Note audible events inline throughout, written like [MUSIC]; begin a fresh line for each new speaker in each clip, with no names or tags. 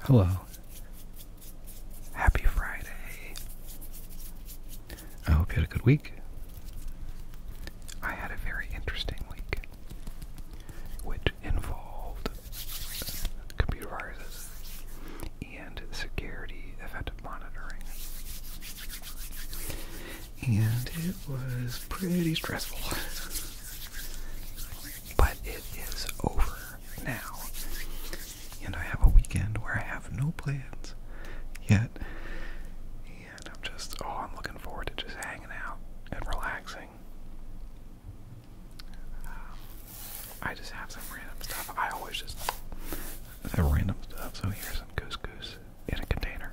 Hello. Happy Friday. I hope you had a good week. I had a very interesting week, which involved computer viruses and security event monitoring. And it was pretty stressful but it is over now. And I have a weekend where I have no plans yet. And I'm just, oh, I'm looking forward to just hanging out and relaxing. I just have some random stuff. I always just have random stuff. So here's some couscous in a container.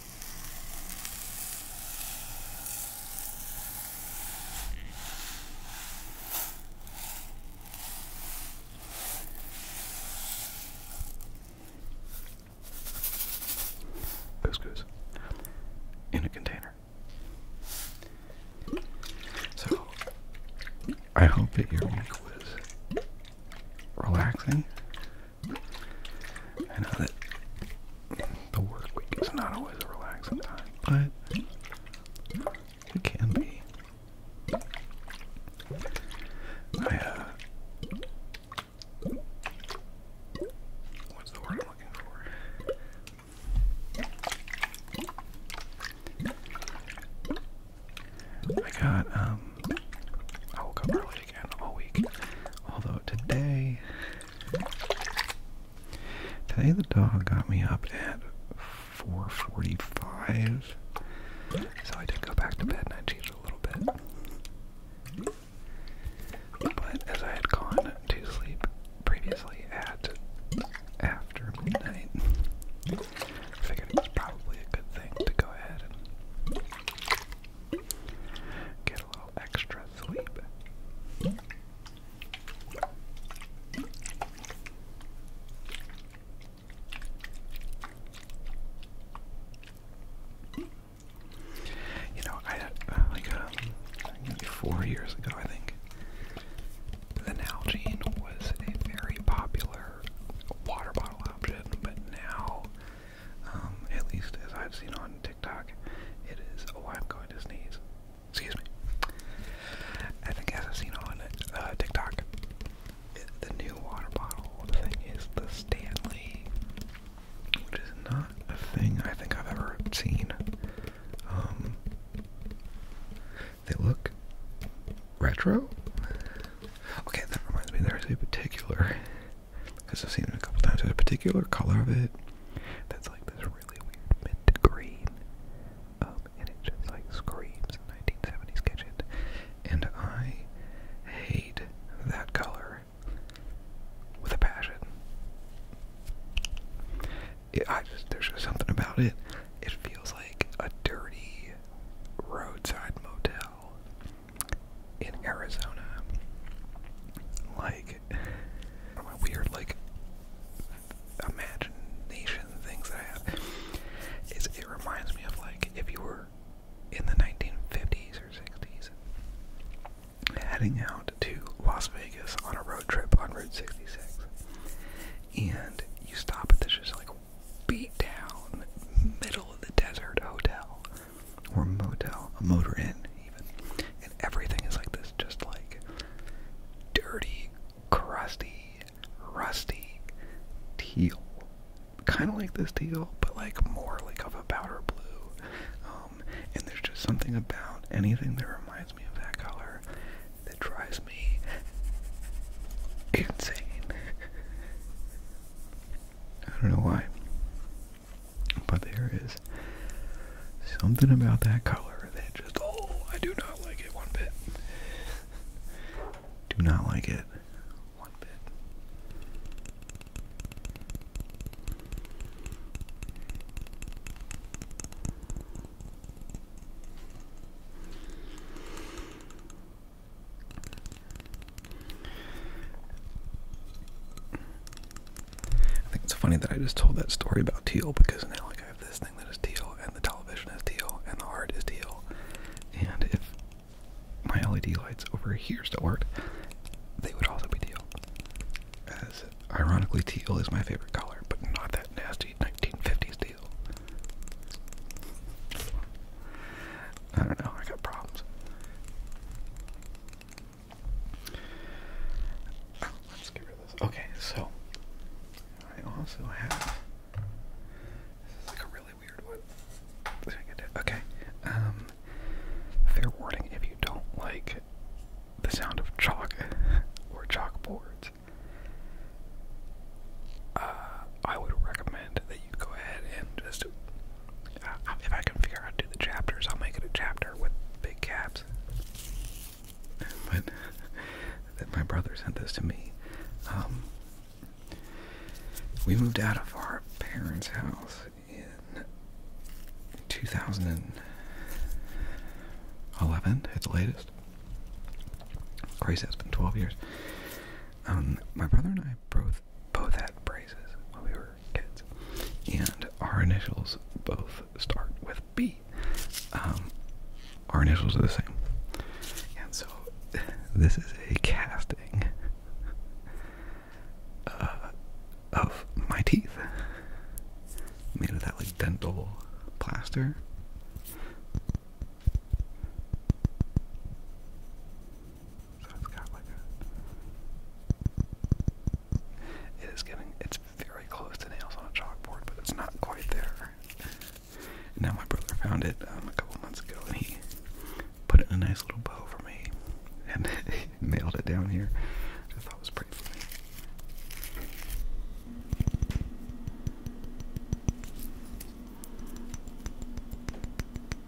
Couscous in a container. So, I hope that your week was relaxing I know that the work week is not always a relaxing time, but it can be. I, uh, what's the word I'm looking for? I got, um, I woke up early again all week. Although today, today the dog got me up at 4:45, so I did go back to bed and I cheated a little bit. But as I had gone to sleep previously at after midnight, figured it was probably a good thing to go ahead and extra sleep. You know, I uh, like um, maybe four years ago, I think, the Nalgene was a very popular water bottle option, but now, um, at least as I've seen on TikTok. It is, oh, I'm going to sneeze. Excuse me. I think as I've seen on uh, TikTok, the new water bottle thing is the Stanley, which is not a thing I think I've ever seen. Um, they look retro. Okay, that reminds me. There's a particular because I've seen it a couple times. There's a particular color of it that's like this really weird mint green, um, and it just like screams 1970s kitchen. And I hate that color with a passion. I just there's just something about it. It feels like a dirty roadside motel in Arizona. Like my weird like imagination things that I have is it reminds me of like if you were in the 1950s or 60s heading out to Las Vegas on a road trip on Route 66 and you stop at this just like beat down middle of the desert hotel or motel, a motor inn even. And everything is like this, just like dirty, crusty, rusty teal. Kind of like this teal, but like more like of a powder blue. Um, and there's just something about anything that reminds me of that color that drives me insane. [LAUGHS] I don't know why. But there is something about that color that just, oh, I do not like it one bit. do not like it one bit. I think it's funny that I just told that story about teal because now like I have this thing that is teal and the television is teal and the art is teal. And if my LED lights over here still worked, they would also be teal. As ironically teal is my favorite color, but not that nasty 1950s teal. I don't know, I got problems. Okay, so I also have. This is like a really weird one. Okay. fair um, warning if you don't like the sound of chalk [LAUGHS] or chalkboards. Uh, I would recommend that you go ahead and just if I can figure out to the chapters, I'll make it a chapter with big caps. But that my brother sent this to me. Um, we moved out of our parents' house in 2011 at the latest. Crazy, that has been 12 years. Um, my brother and I both both had braces when we were kids, and our initials both start with B. Um, our initials are the same, and so [LAUGHS] this is a casting uh, of my teeth made of that like dental plaster. So it's got like a. It is getting. It's very close to nails on a chalkboard, but it's not quite there. now my brother found it um, a couple months ago, and he put it in a nice little bow for me, and [LAUGHS] nailed it down here. I thought was pretty funny.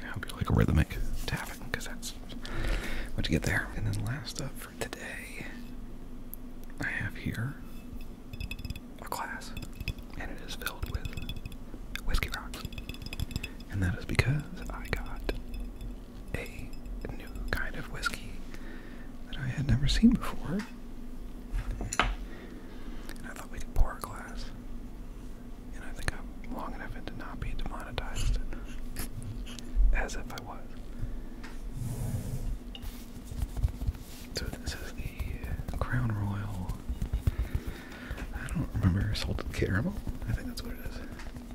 I hope you like rhythmic tapping because that's what you get there. And then last up for today, I have here a glass, and it is filled with whiskey rocks, and that is because I got a new kind of whiskey that I had never seen before. I thought we could pour a glass. And I think I'm long enough into not being demonetized. As if I was. So this is the Crown Royal. I don't remember salted caramel. I think that's what it is.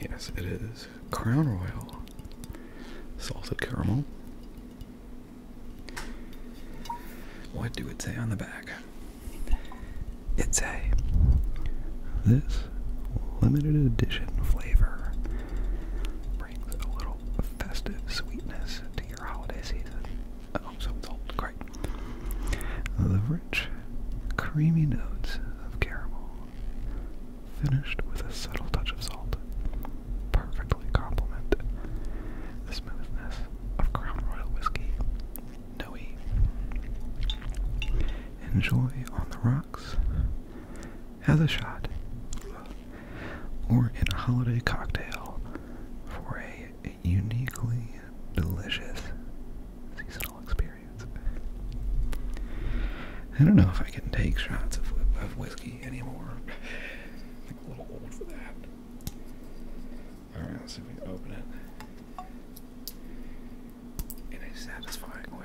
Yes, it is Crown Royal salted caramel. What do it say on the back? It say this limited edition flavor. Brings a little festive sweetness to your holiday season. Oh, so it's Great. Uh, the rich, creamy notes of caramel, finished with a subtle touch of salt, perfectly complement the smoothness of Crown Royal whiskey. Noe. Enjoy on the rocks Fox has a shot, or in a holiday cocktail for a uniquely delicious seasonal experience. I don't know if I can take shots of, whiskey anymore. I'm a little old for that. Alright, let's see if we can open it in a satisfying way.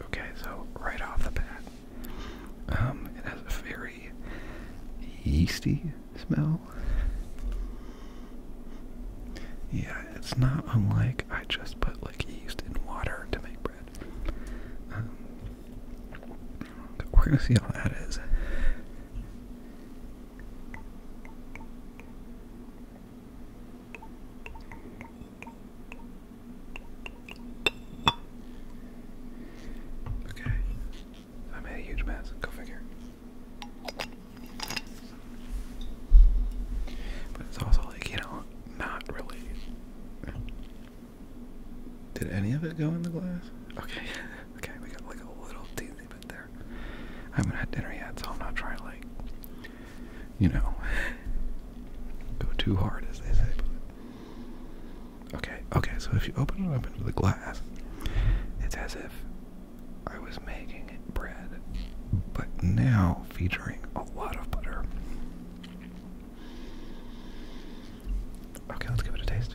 Okay, so right off the bat, um, it has a very yeasty smell. Yeah, it's not unlike I just put like yeast in water to make bread. Um, we're gonna see how that is. Okay. I made a huge mess. Go figure. But it's also like, you know, not really. Did any of it go in the glass? Okay. [LAUGHS] Okay, we got like a little teensy bit there. I haven't had dinner yet, so I'm not trying you know, go too hard, as they say. okay, okay. So if you open it up into the glass, it's as if I was making bread, but now featuring a lot of butter. Okay, let's give it a taste.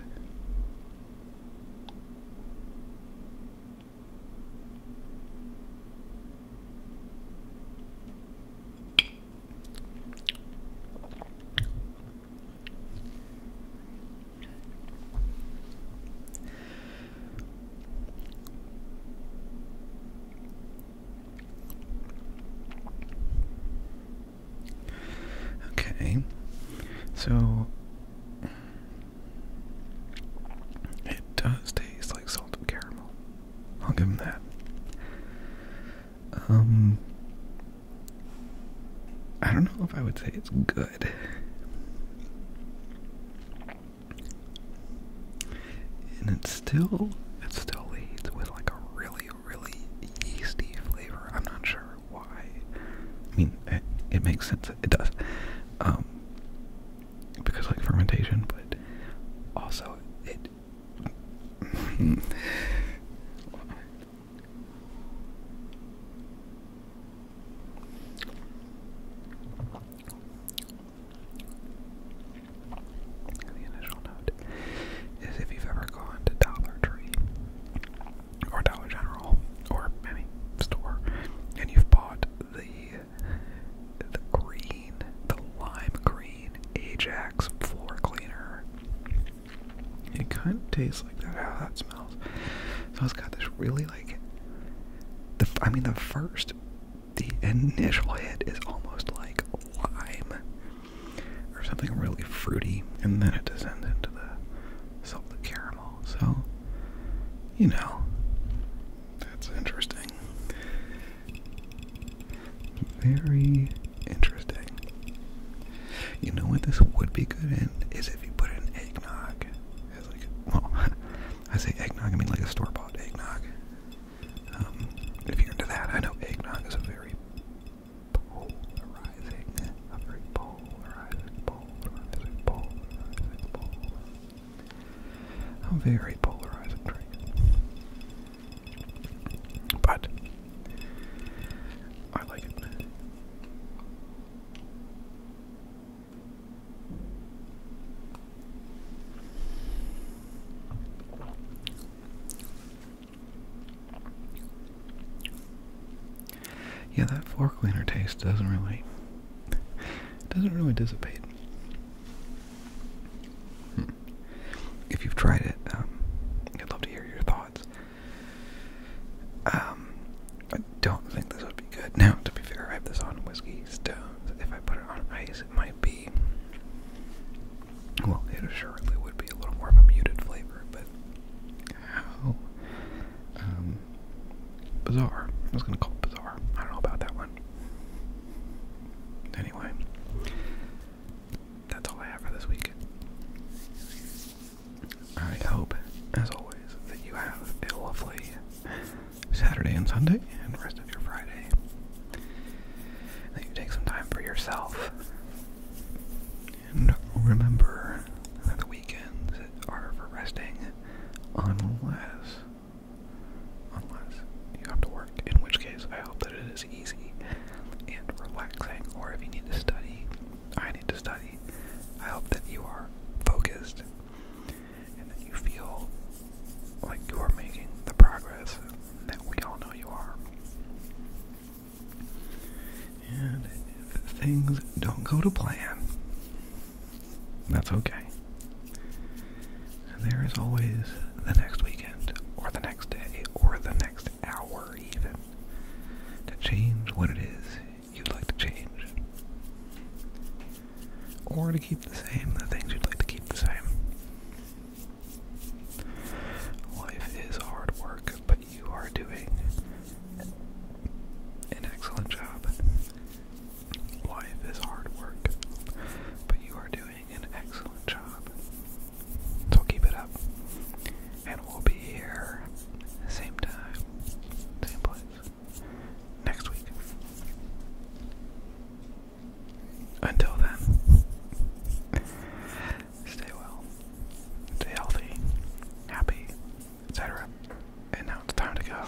Okay, so it does taste like salted caramel. I'll give him that. Um, I don't know if I would say it's good. And it's still, it still leads with like a really, really yeasty flavor. I'm not sure why. I mean, it, it makes sense. It does. Um, because I like fermentation, but also it. [LAUGHS] The initial note is if you've ever gone to Dollar Tree or Dollar General or any store and you've bought the the green, the lime green Ajax floor cleaner. It kind of tastes like that, how that smells. So it's got this really like, the I mean the first, the initial hit is almost like lime or something really fruity, and then it descends into the salted caramel. So, you know, that's interesting. Very interesting. You know what this would be good in is if you put an eggnog. As well, [LAUGHS] I say eggnog, I mean like a store bought eggnog. Um, if you're into that, I know eggnog is a very polarizing, a very polarizing, polarizing, polarizing, polarizing, a very polarizing drink. But I like it. Yeah, that floor cleaner taste doesn't really doesn't really dissipate. Hmm. If you've tried it, um, I'd love to hear your thoughts. Um, I don't think this would be good. Now, to be fair, I have this on whiskey stones. If I put it on ice, it might be. Well, it assuredly would be a little more of a muted flavor, but how um, bizarre. I was going to call it bizarre. I don't know about that one. Anyway, that's all I have for this week. I hope, as always, that you have a lovely Saturday and Sunday and the rest of your Friday. That you take some time for yourself. And remember that the weekends are for resting on Unless you have to work, in which case I hope that it is easy and relaxing, or if you need to study, I need to study. I hope that you are focused and that you feel like you are making the progress that we all know you are. And if things don't go to plan, that's okay. There is always the next weekend, or the next day, or the next hour, even, to change what it is you'd like to change. Or to keep the same, the things you'd like to keep the same. Life is hard work, but you are doing an excellent job. Life is hard work, but you are doing an excellent job. So keep it up. And we'll be here same time, same place next week. Until then, stay well, stay healthy, happy, etc. And now it's time to go.